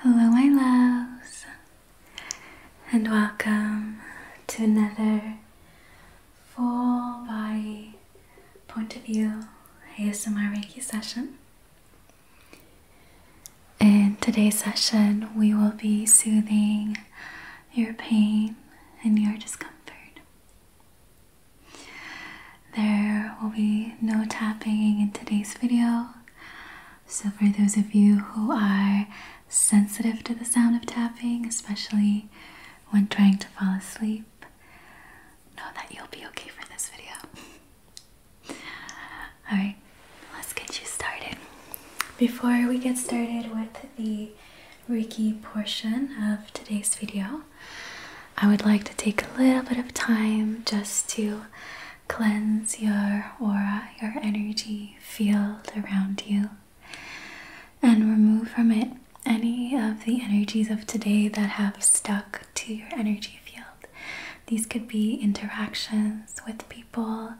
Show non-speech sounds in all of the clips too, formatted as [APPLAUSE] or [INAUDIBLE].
Hello, my loves, and welcome to another full body point of view ASMR Reiki session. In today's session, we will be soothing your pain and your discomfort. There will be no tapping in today's video, so, for those of you who are sensitive to the sound of tapping, especially when trying to fall asleep, know that you'll be okay for this video. [LAUGHS] Alright, let's get you started. Before we get started with the Reiki portion of today's video, I would like to take a little bit of time just to cleanse your aura, your energy field around you, and remove from it any of the energies of today that have stuck to your energy field. These could be interactions with people,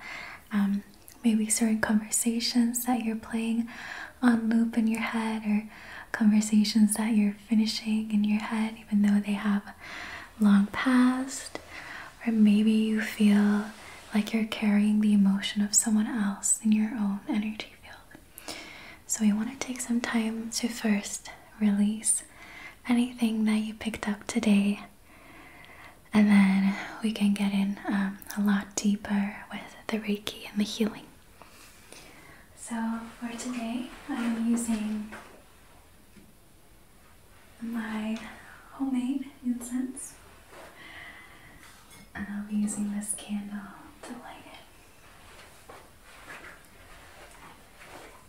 um, maybe certain conversations that you're playing on loop in your head, or conversations that you're finishing in your head, even though they have long passed, or maybe you feel like you're carrying the emotion of someone else in your own energy field. So, we want to take some time to first release anything that you picked up today, and then we can get in um, a lot deeper with the Reiki and the healing. So, for today, I'm using my homemade incense. And I'll be using this candle to light it.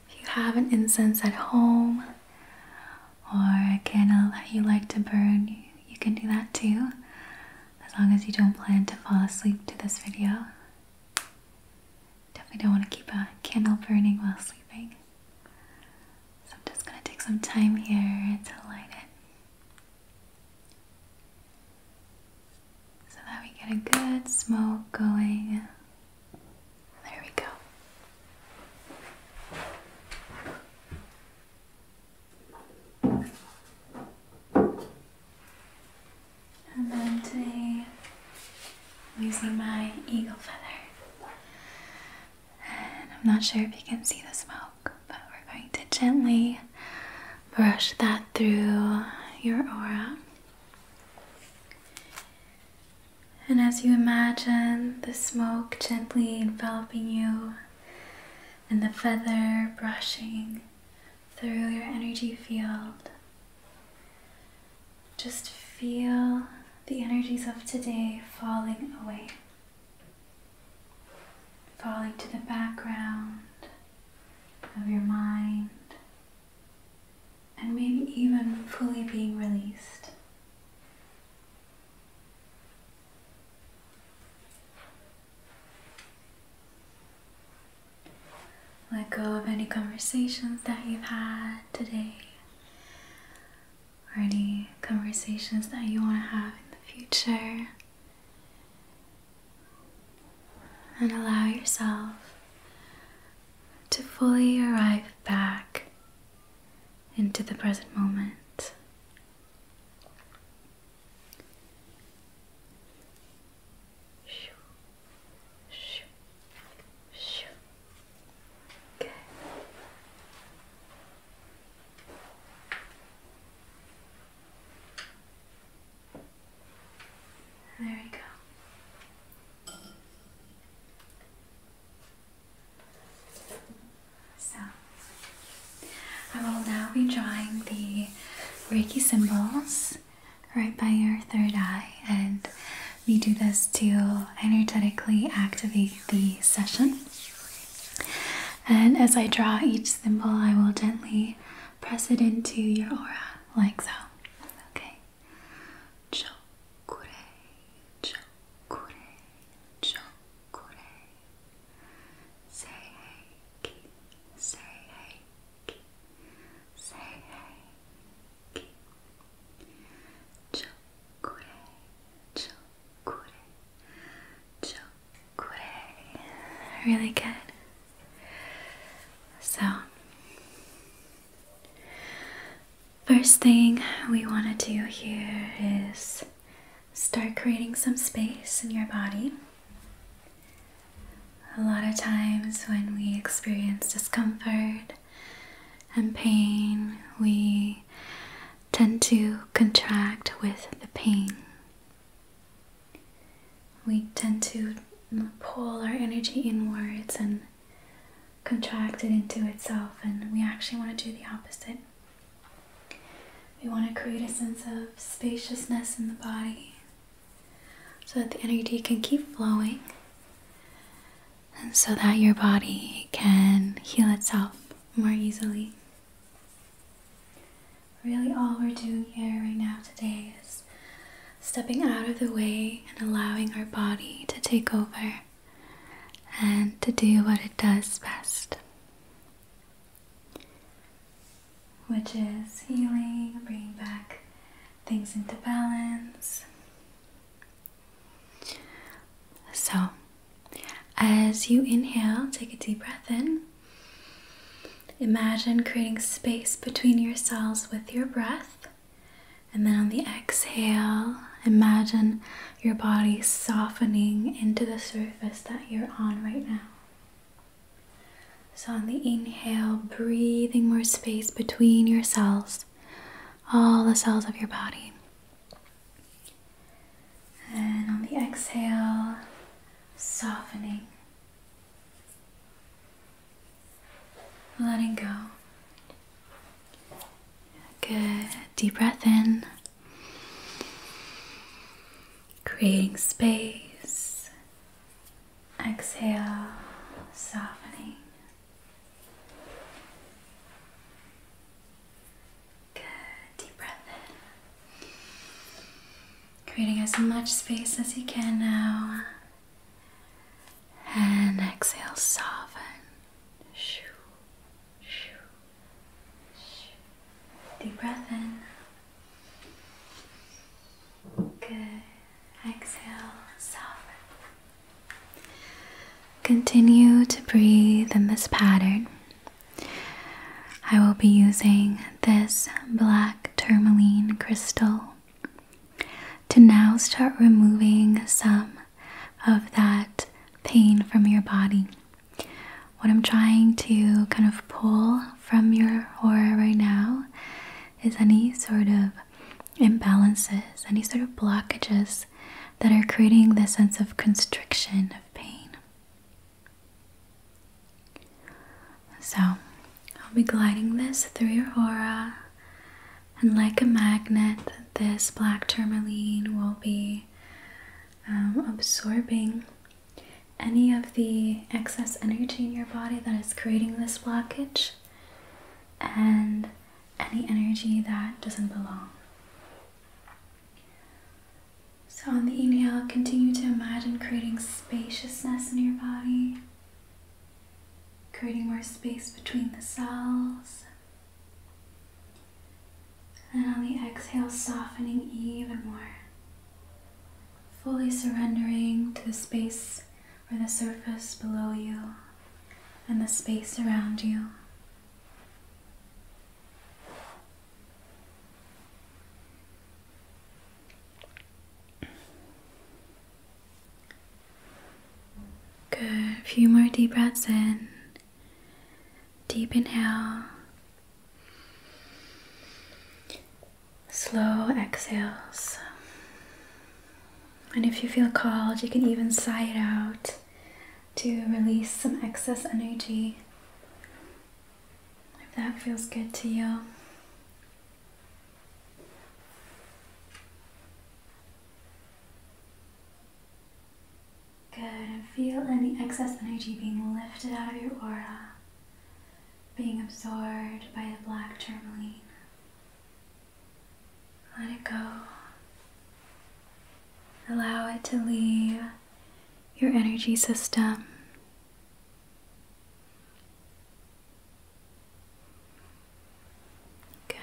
If you have an incense at home or a candle that you like to burn, you, can do that too, as long as you don't plan to fall asleep to this video. Definitely don't want to keep a candle burning while sleeping. So I'm just going to take some time here to light it. So that we get a good smoke going. There we go. And then today I'm using my eagle feather. And I'm not sure if you can see the smoke, but we're going to gently brush that through your aura. And as you imagine the smoke gently enveloping you and the feather brushing through your energy field, just feel the energies of today falling away, falling to the background of your mind, and maybe even fully being released. Let go of any conversations that you've had today or any conversations that you want to have in the future. And allow yourself to fully arrive back into the present moment. Shoo. Shoo. Good. There we go. So, I will now be drawing the Reiki symbols right by your third eye, and we do this to energetically activate the session. And as I draw each symbol, I will gently press it into your aura, like so. Okay. Really good. So, first thing we want to do here is start creating some space in your body. A lot of times when we experience discomfort, and pain, we tend to contract with the pain. We tend to pull our energy inwards and contract it into itself, and we actually want to do the opposite. We want to create a sense of spaciousness in the body, so that the energy can keep flowing and so that your body can heal itself more easily. Really, all we're doing here right now today is stepping out of the way and allowing our body to take over and to do what it does best, which is healing, bringing back things into balance. So, as you inhale, take a deep breath in. Imagine creating space between yourselves with your breath. And then on the exhale, imagine your body softening into the surface that you're on right now. So on the inhale, breathing more space between yourselves all the cells of your body. And on the exhale, softening, letting go. Good. Deep breath in, creating space. Exhale, softening. Good. Deep breath in. Creating as much space as you can now. And exhale, soften. Shoo, shoo, shoo. Deep breath in. Good. Exhale, soften. Continue to breathe in this pattern. I will be using this black tourmaline crystal to now start removing some of that pain from your body. What I'm trying to kind of pull from your aura right now is any sort of imbalances, any sort of blockages that are creating this sense of constriction of pain. So, I'll be gliding this through your aura, and like a magnet, this black tourmaline will be um, absorbing any of the excess energy in your body that is creating this blockage and any energy that doesn't belong. So, on the inhale, continue to imagine creating spaciousness in your body, creating more space between the cells. And on the exhale, softening even more, fully surrendering to the space or the surface below you and the space around you. Good. A few more deep breaths in. Deep inhale slow exhales. And if you feel called, you can even sigh it out to release some excess energy if that feels good to you. Good, and feel any excess energy being lifted out of your aura, being absorbed by the black tourmaline. Let it go. Allow it to leave your energy system. Good.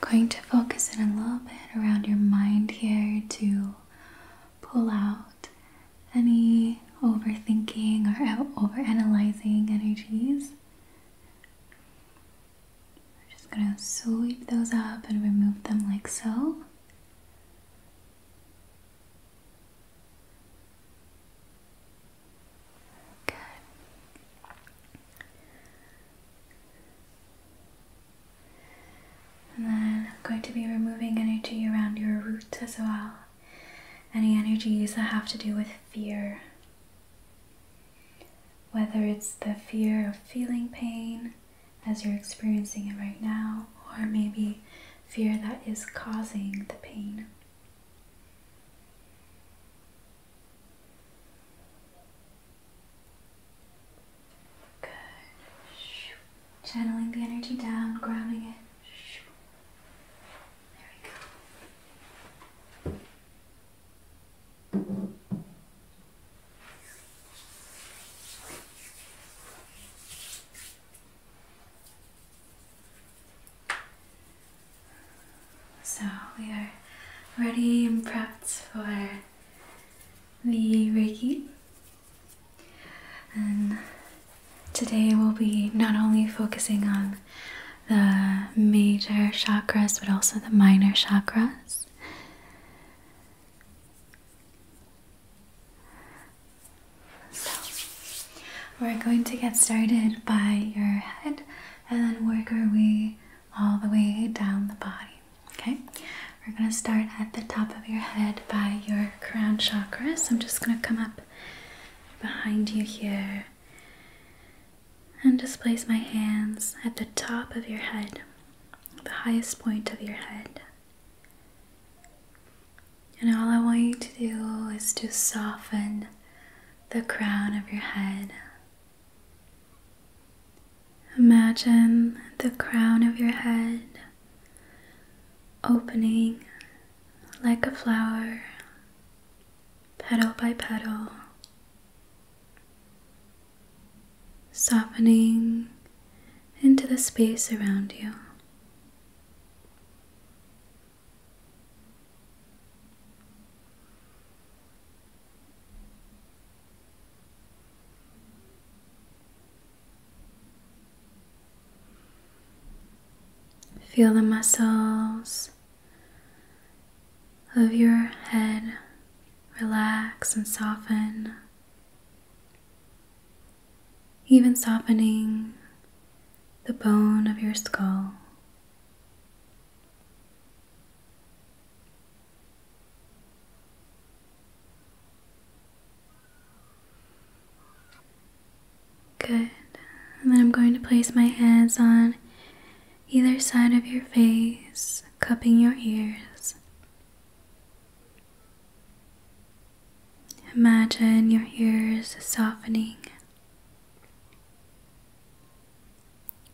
going to focus in a little bit around your mind here to pull out any overthinking or overanalyzing energies. We're just going to sweep those up and remove them like so. And then I'm going to be removing energy around your roots as well any energies that have to do with fear. Whether it's the fear of feeling pain as you're experiencing it right now, or maybe fear that is causing the pain. Good. Channeling the energy down, grounding it. So we are ready and prepped for the Reiki. And Today we'll be not only focusing on the major chakras but also the minor chakras. So, we're going to get started by your head and then work our way all the way down the body. Okay? We're going to start at the top of your head by your crown chakra. So, I'm just going to come up behind you here and just place my hands at the top of your head, the highest point of your head. And all I want you to do is to soften the crown of your head. Imagine the crown of your head opening like a flower petal by petal, softening into the space around you. Feel the muscles of your head relax and soften, even softening the bone of your skull. Good. And then I'm going to place my hands on either side of your face, cupping your ears. Imagine your ears softening.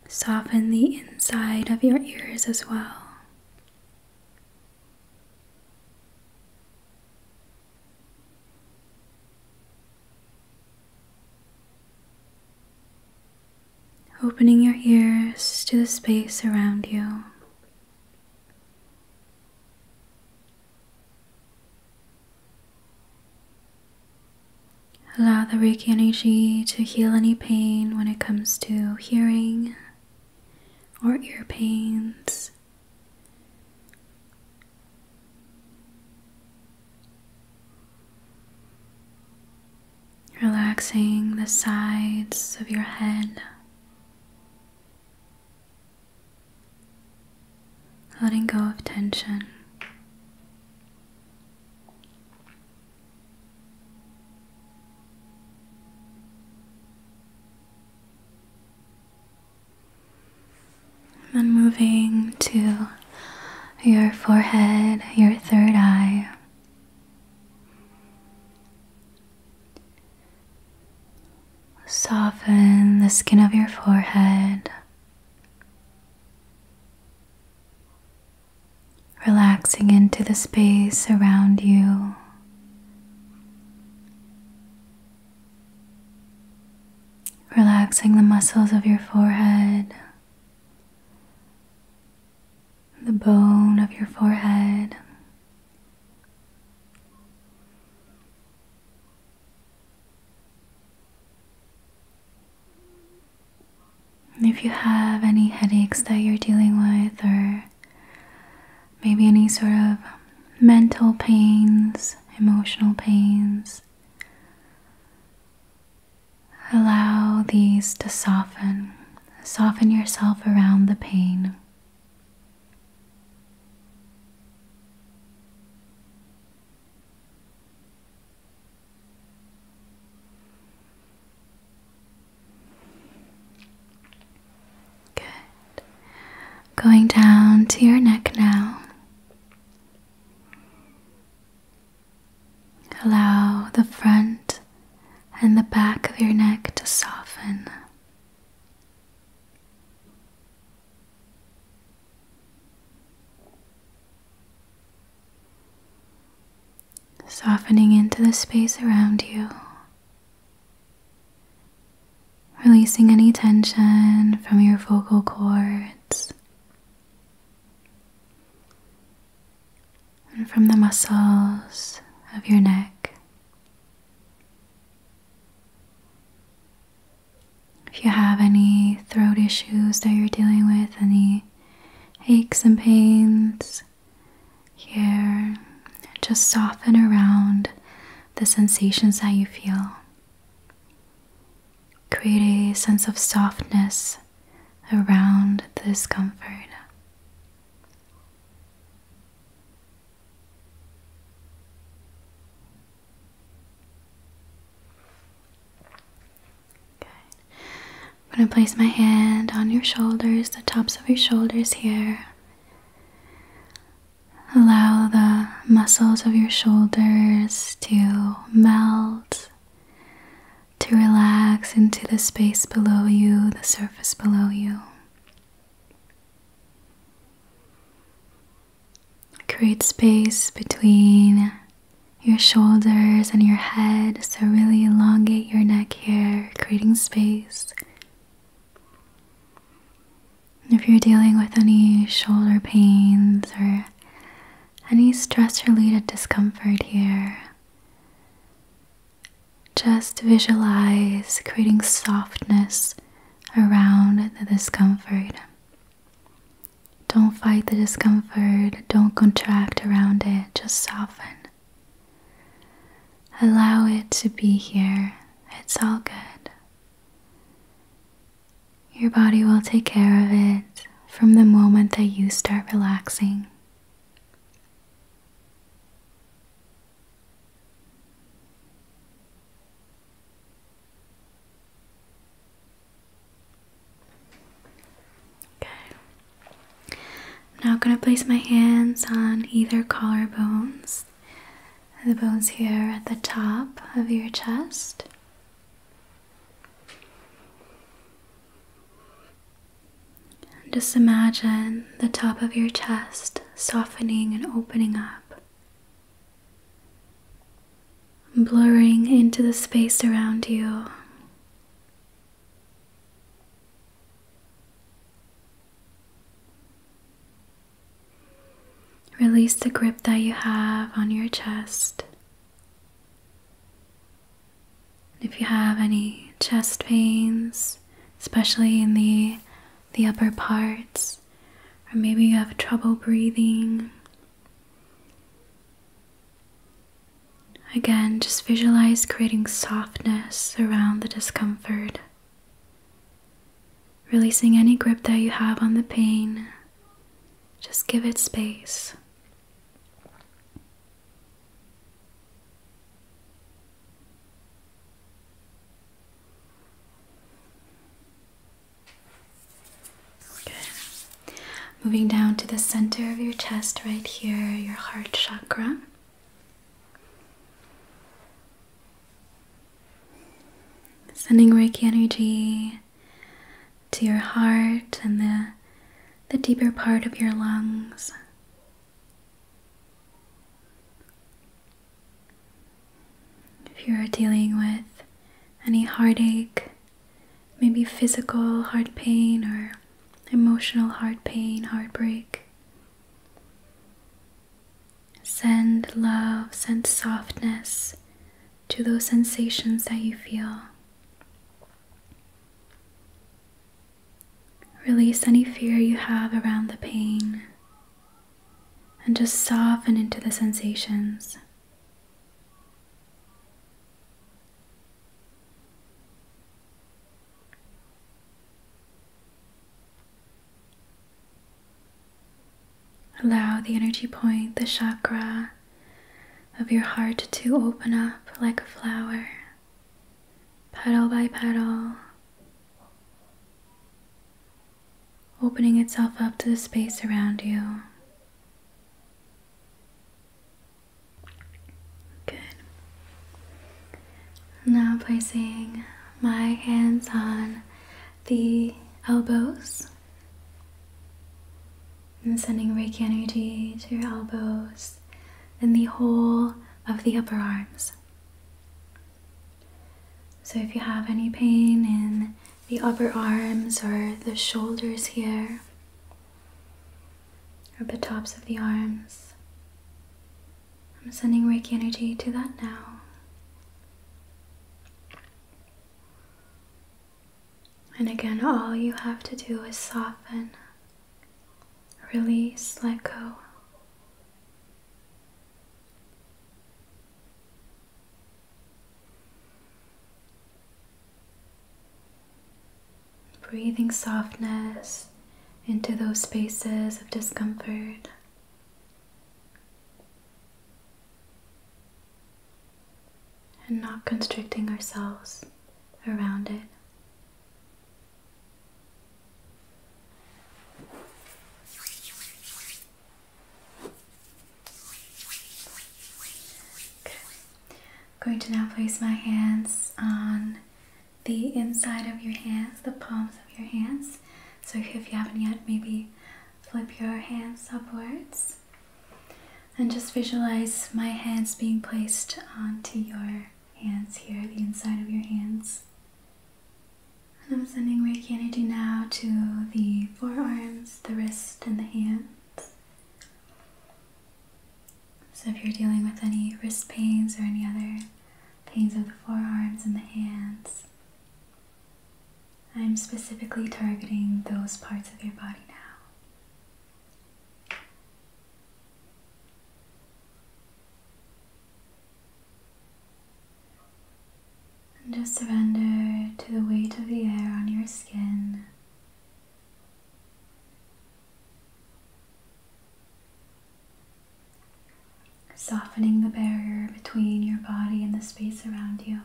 Soften the inside of your ears as well. Opening your ears to the space around you. Allow the Reiki energy to heal any pain when it comes to hearing or ear pains. Relaxing the sides of your head, letting go of tension. And then moving to your forehead, your third eye. Soften the skin of your forehead. Relaxing into the space around you. Relaxing the muscles of your forehead, the bone of your forehead. If you have any headaches that you're dealing with, or maybe any sort of mental pains, emotional pains, Allow these to soften. Soften yourself around the pain. Good. Going down to your neck now. Allow the front and the back of your neck to soften. Softening into the space around you releasing any tension from your vocal cords and from the muscles of your neck. If you have any throat issues that you're dealing with, any aches and pains here, just soften around the sensations that you feel. Create a sense of softness around this comfort. I'm going to place my hand on your shoulders, the tops of your shoulders here. Allow the muscles of your shoulders to melt, to relax into the space below you, the surface below you. Create space between your shoulders and your head, so really elongate your neck here, creating space. If you're dealing with any shoulder pains or any stress related discomfort here, just visualize creating softness around the discomfort. Don't fight the discomfort, don't contract around it, just soften. Allow it to be here, it's all good. Your body will take care of it from the moment that you start relaxing. Okay. Now I'm going to place my hands on either collarbones. The bones here at the top of your chest. Just imagine the top of your chest softening and opening up, blurring into the space around you. Release the grip that you have on your chest. If you have any chest pains, especially in the the upper parts, or maybe you have trouble breathing. Again, just visualize creating softness around the discomfort. Releasing any grip that you have on the pain, just give it space. Okay. Moving down to the center of your chest, right here, your heart chakra. Sending Reiki energy to your heart and the, the deeper part of your lungs. If you are dealing with any heartache, maybe physical heart pain or emotional heart pain, heartbreak, Send love, send softness to those sensations that you feel. Release any fear you have around the pain and just soften into the sensations. Allow the energy point, the chakra of your heart to open up like a flower, petal by petal, opening itself up to the space around you. Good. Now placing my hands on the elbows and sending Reiki energy to your elbows and the whole of the upper arms. So, if you have any pain in the upper arms or the shoulders here, or the tops of the arms, I'm sending Reiki energy to that now. And again, all you have to do is soften, release, let go. Breathing softness into those spaces of discomfort and not constricting ourselves around it. I'm going to now place my hands on the inside of your hands, the palms of your hands. So if you haven't yet, maybe Flip your hands upwards and just visualize my hands being placed onto your hands here, the inside of your hands. And I'm sending radiance energy now to the forearms, the wrist, and the hands. So if you're dealing with any wrist pains or any other pains of the forearms and the hands, I'm specifically targeting those parts of your body now. And just surrender to the weight of the air on your skin softening the barrier between your body and the space around you.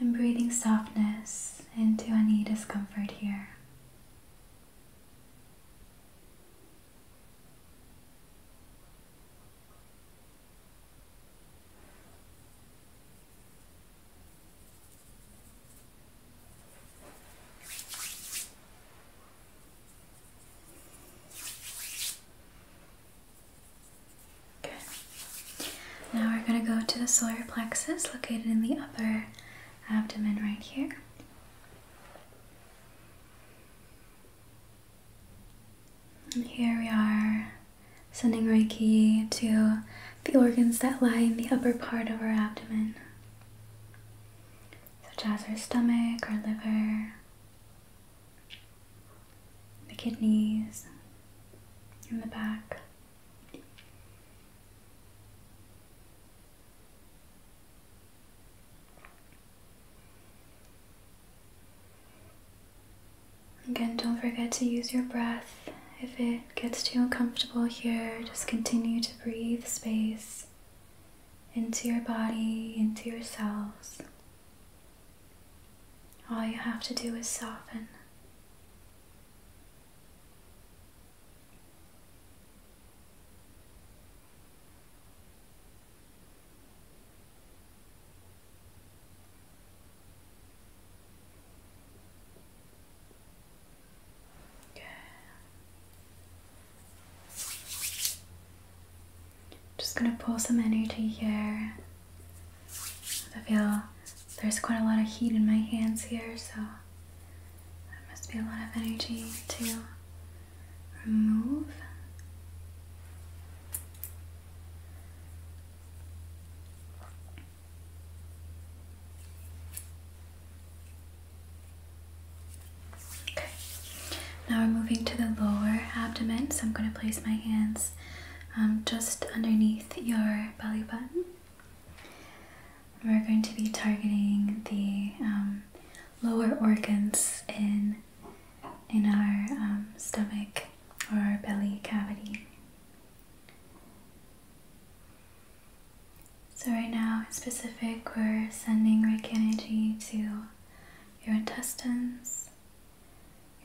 And breathing softness into any discomfort here. Now we're going to go to the solar plexus located in the upper abdomen right here. And here we are sending Reiki to the organs that lie in the upper part of our abdomen such as our stomach, our liver, the kidneys, and the back. Again, don't forget to use your breath. If it gets too uncomfortable here, just continue to breathe space into your body, into yourselves. All you have to do is soften. Just gonna pull some energy here. I feel there's quite a lot of heat in my hands here, so there must be a lot of energy to remove. Okay, now we're moving to the lower abdomen, so I'm going to place my hands um, just underneath your belly button. We're going to be targeting the um, lower organs in in our um, stomach or our belly cavity. So, right now in specific, we're sending Reiki energy to your intestines,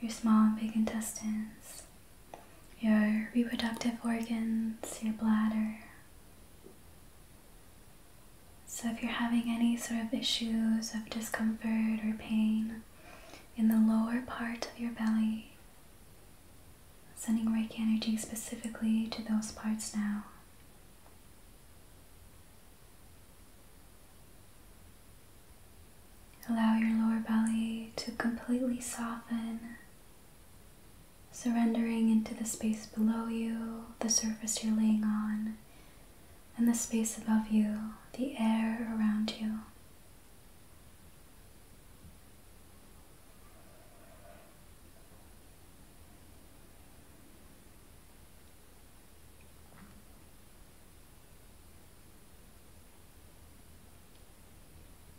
your small and big intestines, your reproductive organs, your bladder. So, if you're having any sort of issues of discomfort or pain in the lower part of your belly, sending Reiki energy specifically to those parts now. Allow your lower belly to completely soften, surrendering into the space below you, the surface you're laying on, and the space above you, the air around you.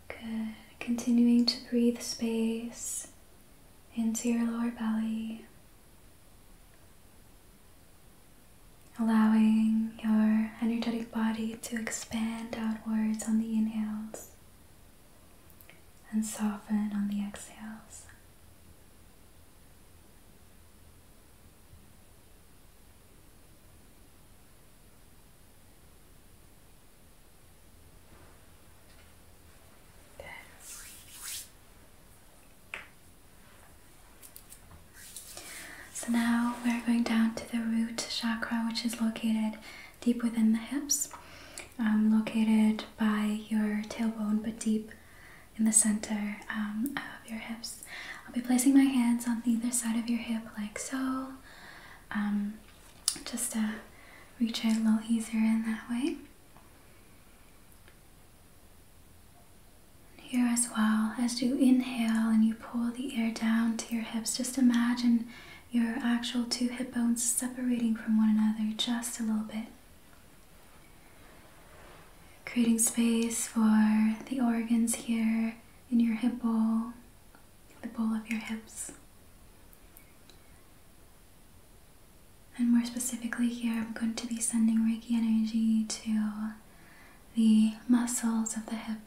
Good. Continuing to breathe space into your lower belly, allowing your energetic body to expand outwards on the inhales and soften on the exhales. So now we're going down to the root chakra, which is located deep within the hips um, located by your tailbone but deep in the center um, of your hips. I'll be placing my hands on either side of your hip like so, um, just to uh, reach it a little easier in that way. Here as well, as you inhale and you pull the air down to your hips, just imagine your actual two hip bones separating from one another just a little bit. Creating space for the organs here in your hip bowl, the bowl of your hips. And more specifically, here I'm going to be sending Reiki energy to the muscles of the hip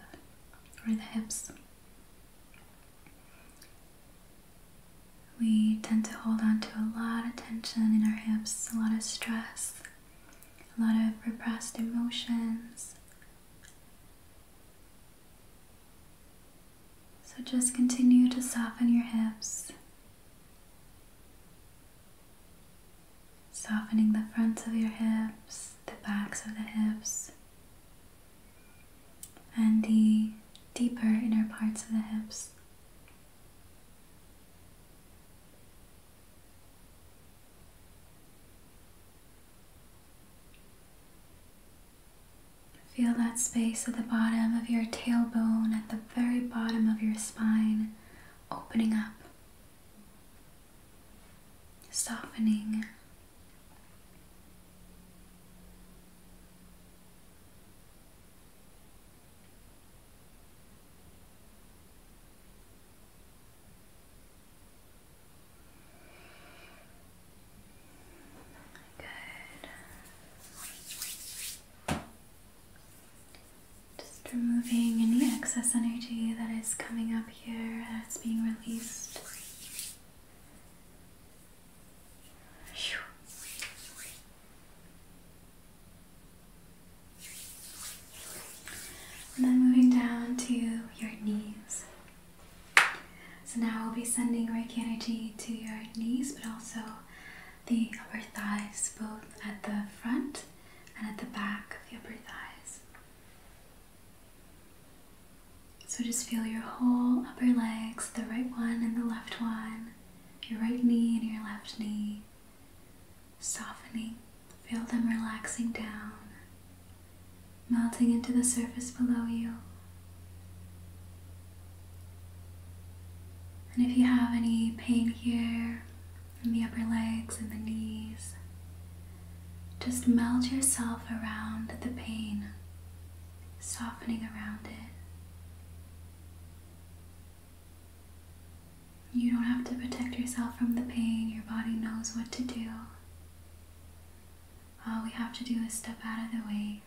or the hips. We tend to hold on to a lot of tension in our hips, a lot of stress, a lot of repressed emotions. So just continue to soften your hips, softening the fronts of your hips, the backs of the hips and the deeper inner parts of the hips. Feel that space at the bottom of your tailbone, at the very bottom of your spine, opening up, softening Good. Just removing any excess energy that is coming up here that's being released. And then moving down to your knees. So now I'll be sending Reiki energy to your knees, but also the upper thighs, both at the front and at the back of the upper thighs. So just feel your whole upper legs, the right one and the left one, your right knee and your left knee, softening. Feel them relaxing down, melting into the surface below you. And if you have any pain here in the upper legs and the knees, just melt yourself around the pain softening around it. You don't have to protect yourself from the pain, your body knows what to do. All we have to do is step out of the way.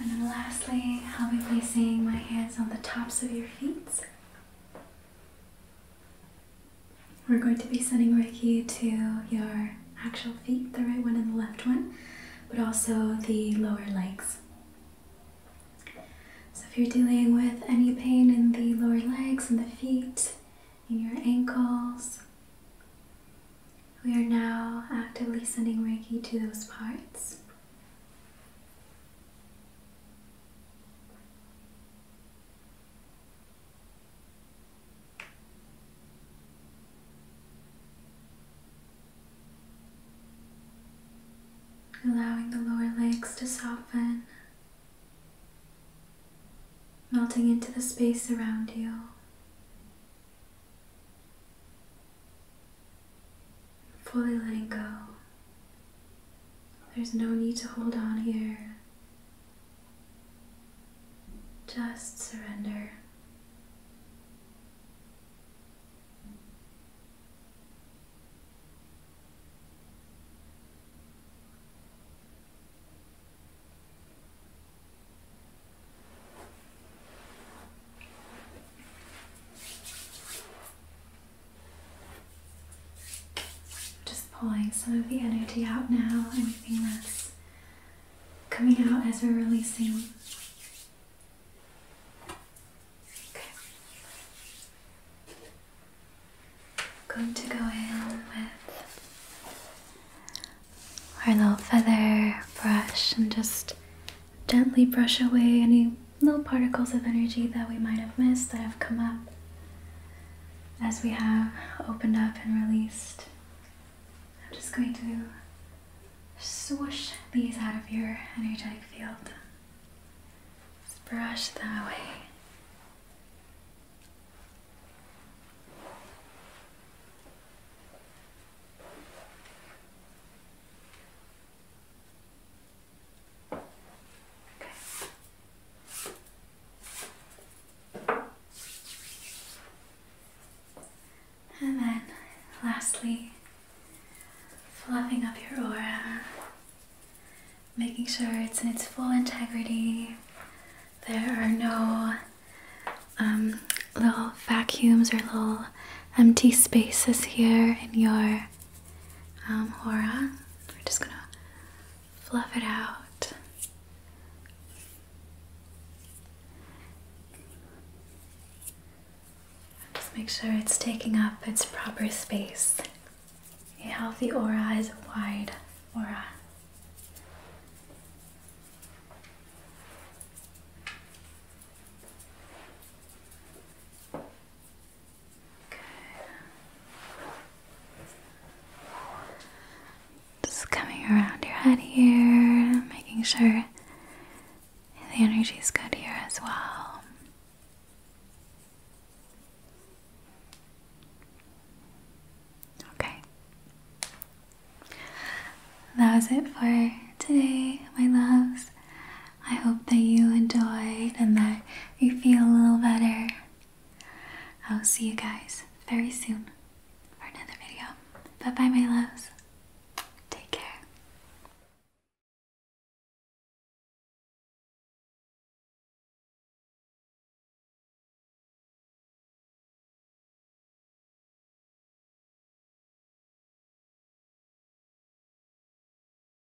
And then lastly, I'll be placing my hands on the tops of your feet. We're going to be sending Reiki to your actual feet, the right one and the left one, but also the lower legs. So, if you're dealing with any pain in the lower legs and the feet, in your ankles, we are now actively sending Reiki to those parts. Allowing the lower legs to soften, melting into the space around you. Fully letting go there's no need to hold on here. Just surrender. Just pulling some of the energy out now, anything that's coming out as we're releasing. Okay. I'm going to go in with our little feather brush and just gently brush away any little particles of energy that we might have missed that have come up as we have opened up and released. I'm just going to swoosh these out of your energetic field. Just brush them away. And then lastly, fluffing up your aura, making sure it's in its full integrity. There are no um, little vacuums or little empty spaces here in your um, aura. We're just gonna fluff it out. Just make sure it's taking up its proper space. A healthy aura is wide aura. Just coming around your head here, making sure the energy is good here as well. Okay. That was it for today, my loves. I hope that you enjoyed and that you feel a little better. I'll see you guys very soon for another video. Bye bye, my loves. Take care.